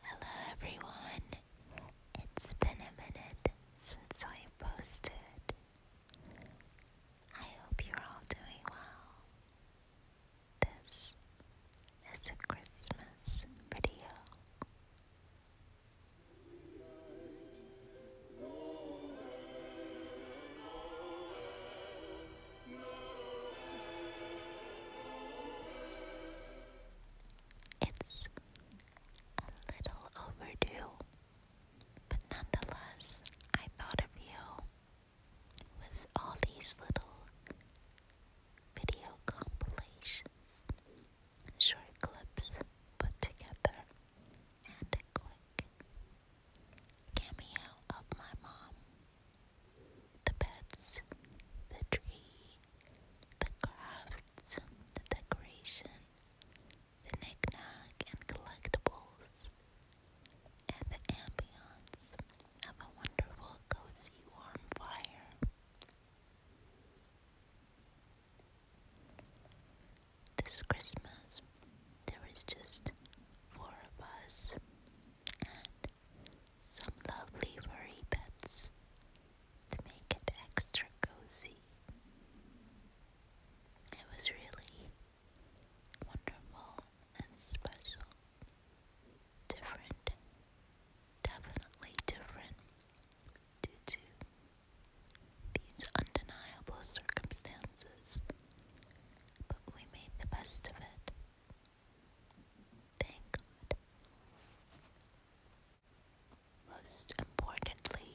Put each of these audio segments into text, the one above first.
Hello everyone! It's been a minute since I posted. I hope you're all doing well. This is a Christmas video. It's a little overdue, but nonetheless, I thought of you with all these little video compilations, short clips put together, and a quick cameo of my mom the pets, the tree, the crafts, the decoration, the knickknack and collectibles, and the ambiance of a wonderful, cozy, warm fire. This Christmas, there was just four of us, some lovely furry pets to make it extra cozy. It was really wonderful and special. Different, definitely different due to these undeniable circumstances, but we made the best of it. Thank God. Most importantly,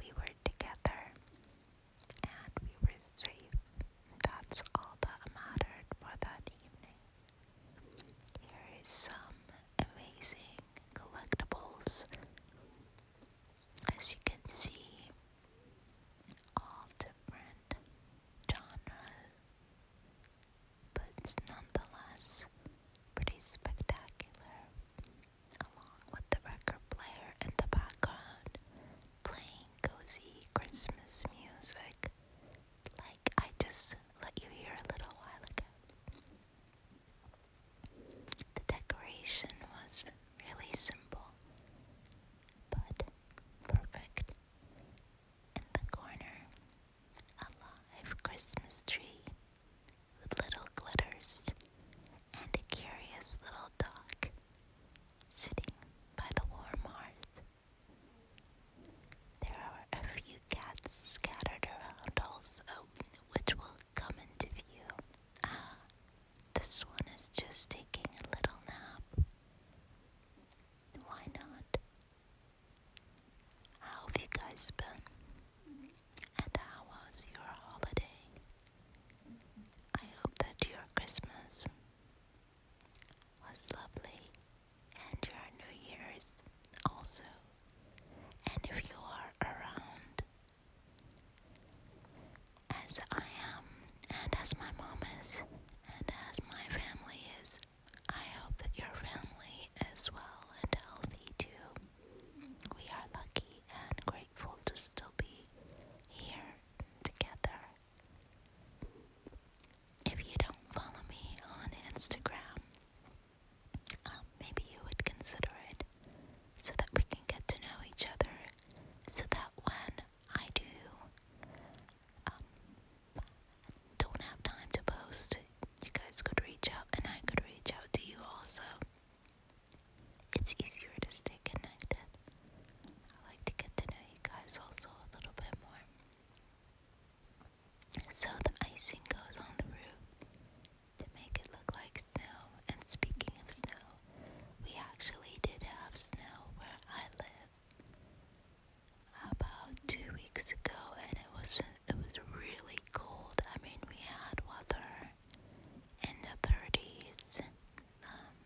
we were together and we were safe. That's all that mattered for that evening. Here is some amazing collectibles. As you can see, all different genres but it's nonetheless pretty spectacular, along with the record player in the background playing cozy Christmas music like I just let you hear a little while ago. The decoration was really simple but perfect. In the corner, a live Christmas tree with little glitters and a curious little dog sitting by the warm hearth. There are a few cats scattered around also, which will come into view. Ah, this one is just taking a little nap. Why not? How have you guys been? And how was your holiday? I hope that your Christmas was lovely and your New Year's also. And if you are around, as I am, and as my mom is, and as my family is, I hope that your family is well and healthy too. We are lucky and grateful to still be here together. If you don't follow me on Instagram, um, maybe you would consider it so that we can get to know each other so that when I do um, don't have time to post, you guys could reach out and I could reach out to you also. It's easier to stay connected. I like to get to know you guys also a little bit more. So the icing goes on the roof to make it look like snow. And speaking of snow, we actually did have snow where I live about two weeks ago, and it was it was really cold. I mean, we had weather in the 30s um,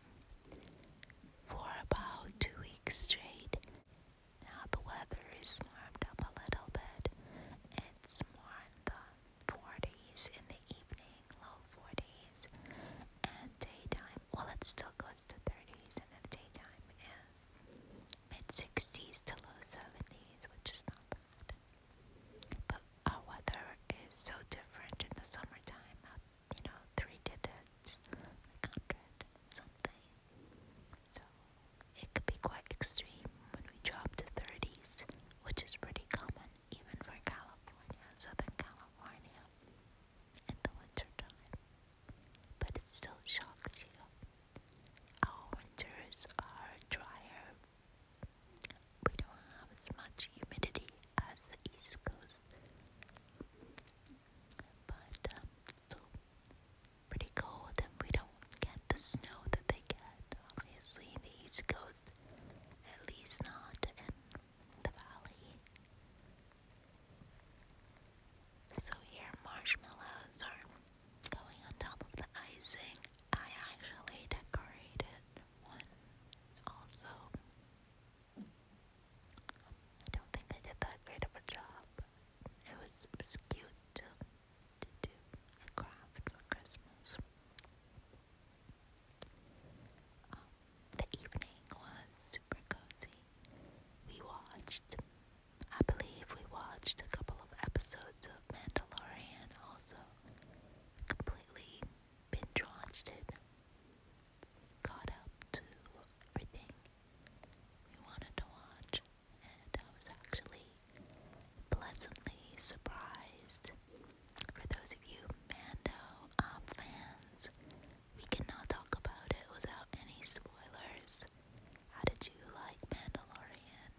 for about two weeks straight. Now the weather is warmed up a little bit. It's more in the 40s in the evening, low 40s, and daytime well, it still goes to 30s and then the daytime, is mid 60s to low 70s, which is not bad. But our weather is so different in the summertime, uh, you know, three digits, 100 something. So it could be quite extreme when we drop to 30s, which is pretty common even for California, Southern California in the wintertime, but it still shocks you. Our winters are drier. We don't have as much humidity as the East Coast, but um, still pretty cold, and we don't get the snow that they get, obviously, the East Coast, at least not in the valley. So here marshmallows are going on top of the icing. I actually decorated one also. I don't think I did that great of a job. It was, it was cute to, to do a craft for Christmas. Um, the evening was super cozy. We watched, I believe we watched a couple of episodes of Mandalorian also. Completely binge watched it. Caught up to everything we wanted to watch, and I was actually pleasantly surprised. For those of you Mando um, fans, we cannot talk about it without any spoilers. How did you like Mandalorian?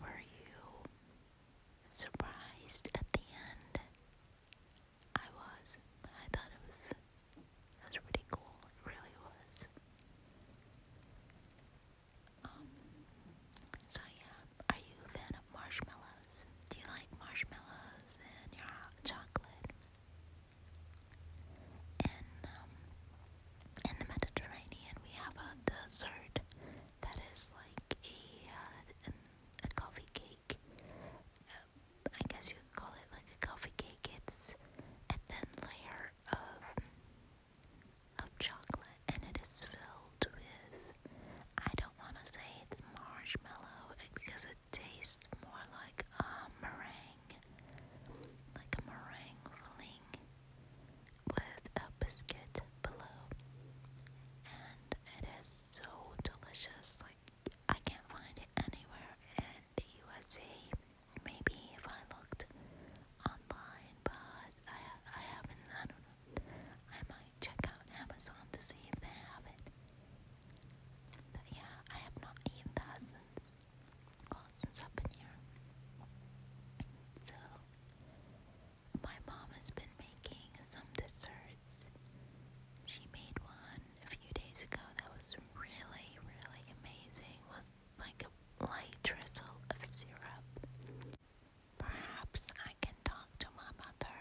Were you surprised at the end? I was. I thought it was That's pretty cool. It really was. Um, so yeah, are you a fan of marshmallow? Do you like marshmallows in your chocolate? And um, in the Mediterranean, we have a dessert that is like a uh, a coffee cake. Um, I guess you call it like a coffee cake. It's a thin layer of of chocolate, and it is filled with. I don't want to say it's marshmallow because Tastes more like a meringue, like a meringue filling with a biscuit below. And it is so delicious. Like, I can't find it anywhere in the USA. Maybe if I looked online, but I, I haven't. I don't know. I might check out Amazon to see if they have it yeah, I have not eaten that since, well, since I've here. So, my mom has been making some desserts. She made one a few days ago that was really, really amazing with like a light drizzle of syrup. Perhaps I can talk to my mother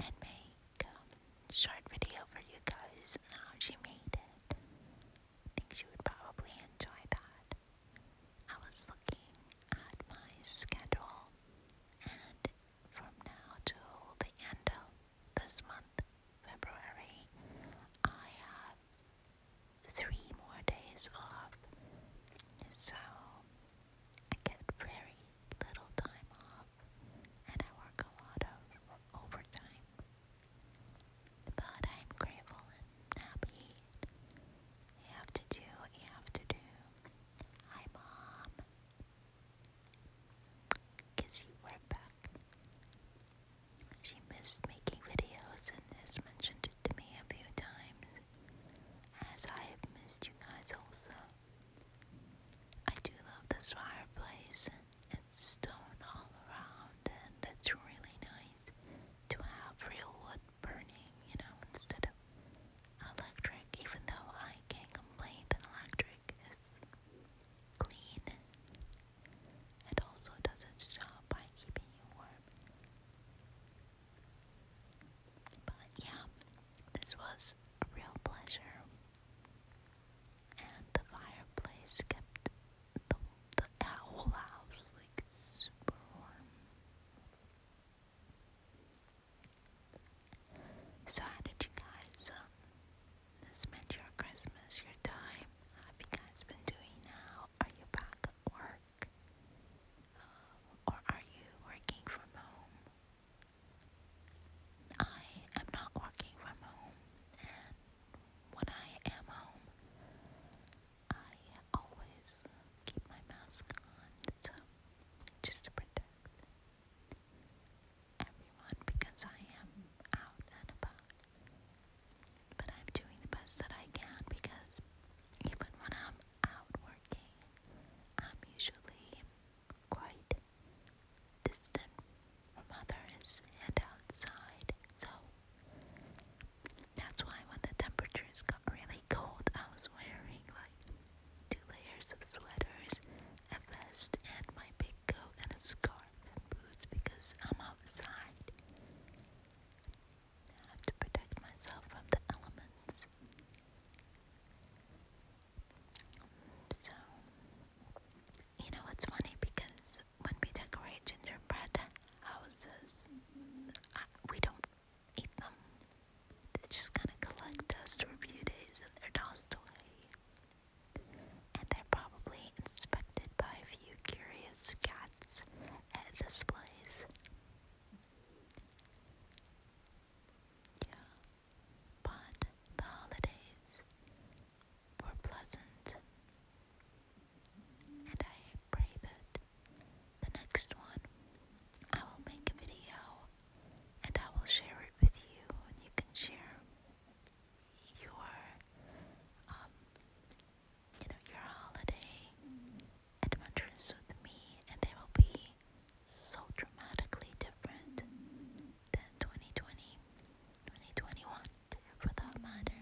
and make short video for you guys on how she made it. I think she would probably enjoy that. I was looking at my schedule, and from now to the end of this month, February, I have three more days off. So I get very little time off, and I work a lot of overtime. But I'm grateful and happy. You have to do what you have to do. Hi, Mom. Kiss you right back. She missed making videos and has mentioned it to me a few times, as I have missed you guys also. I do love this fireplace. It's stone all around, and it's really nice to have real wood burning, you know, instead of electric, even though I can't complain that electric is clean. It also does not stop by keeping you warm. But yeah, this was real pleasure. And the fireplace kept the, the, whole house like super warm. So how did you guys um, spend your Christmas, your time? How have you guys been doing now? Are you back at work? Um, or are you working from home? I am not working from home, and when I am home, I always keep my mask on, so just to protect everyone because I am out and about. But I'm doing the best that I can because even when I'm out working, I'm usually quite distant from others and outside, so that's why when the temperatures got really cold, I was wearing like two layers of sweaters, a vest, and my big coat, and a scarf and boots because I'm outside. I have to protect myself from the elements. So, you know what's funny? Because when we decorate gingerbread houses, we don't eat them. They just kind of collect dust for a few days and they're tossed away. And they're probably inspected by a few curious cats at this place. Yeah but the holidays were pleasant, and I pray that the next one I will make a video and I will share it with you, and you can share your, um, you know, your holiday adventures with me, and they will be so dramatically different than 2020, for that matter.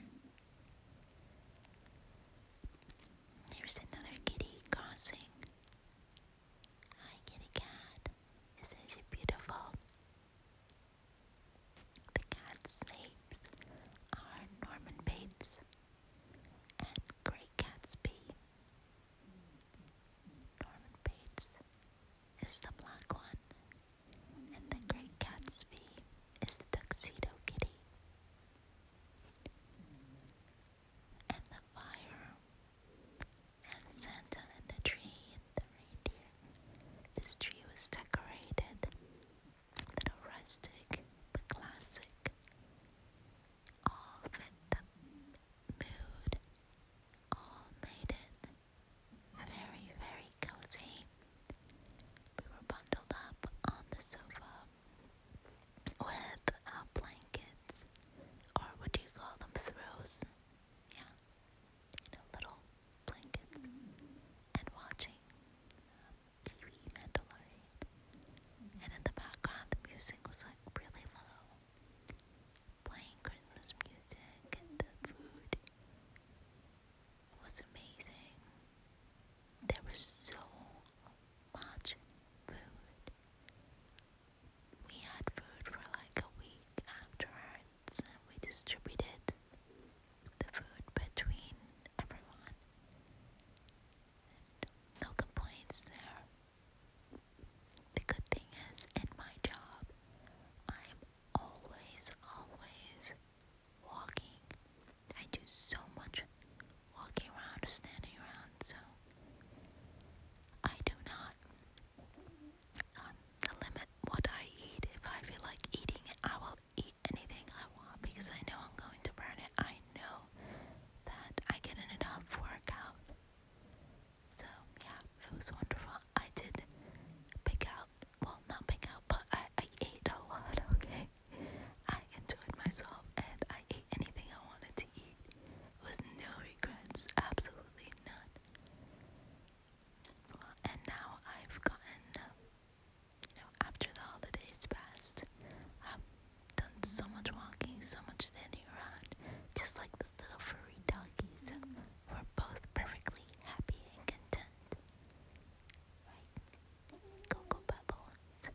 Here's another kitty crossing. Hi, kitty cat. Isn't beautiful? The cat's names are Norman Bates and Great Gatsby. Norman Bates is the black one, and the Great Gatsby is the Tuxedo Kitty. And the fire, and Santa and the tree, and the reindeer. This tree was decorated a little rustic but classic. All fit the mood all made it very, very cozy. We were bundled up on the sofa with uh, blankets, or what do you call them? Throws. Yeah, you know, little blankets, and watching TV Mandalorian. And in the background, the music was like really low playing Christmas music, and the food was amazing. There was so much food. We had food for like a week afterwards, and we distributed the food between everyone. no complaints there. The good thing is, in my job, I'm always, always walking. I do so much walking around standing around, so I do not um, limit what I eat. If I feel like eating it, I will eat anything I want because I know I'm going to burn it. I know that I get enough workout. So yeah, it was wonderful. I did pick out, well not pick out, but I, I ate a lot, okay? I enjoyed myself and I ate anything I wanted to eat with no regrets, absolutely none. Well, and now I've gotten, you know, after the holidays passed, I've done so much walking, so much standing around, just like the little furry doggies, were both perfectly happy and content. Right? Cocoa Pebbles.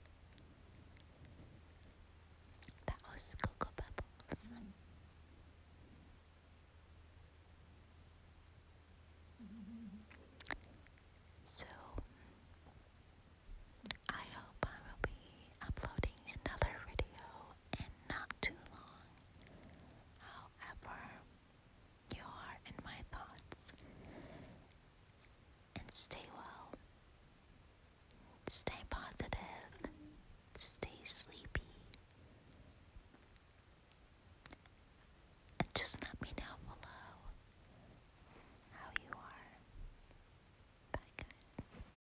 That was Cocoa Pebbles. So, I hope I will be uploading another video and not too long. However, you are in my thoughts. And stay well. Stay positive. Stay sleepy. And just let me know below how you are. Bye, guys.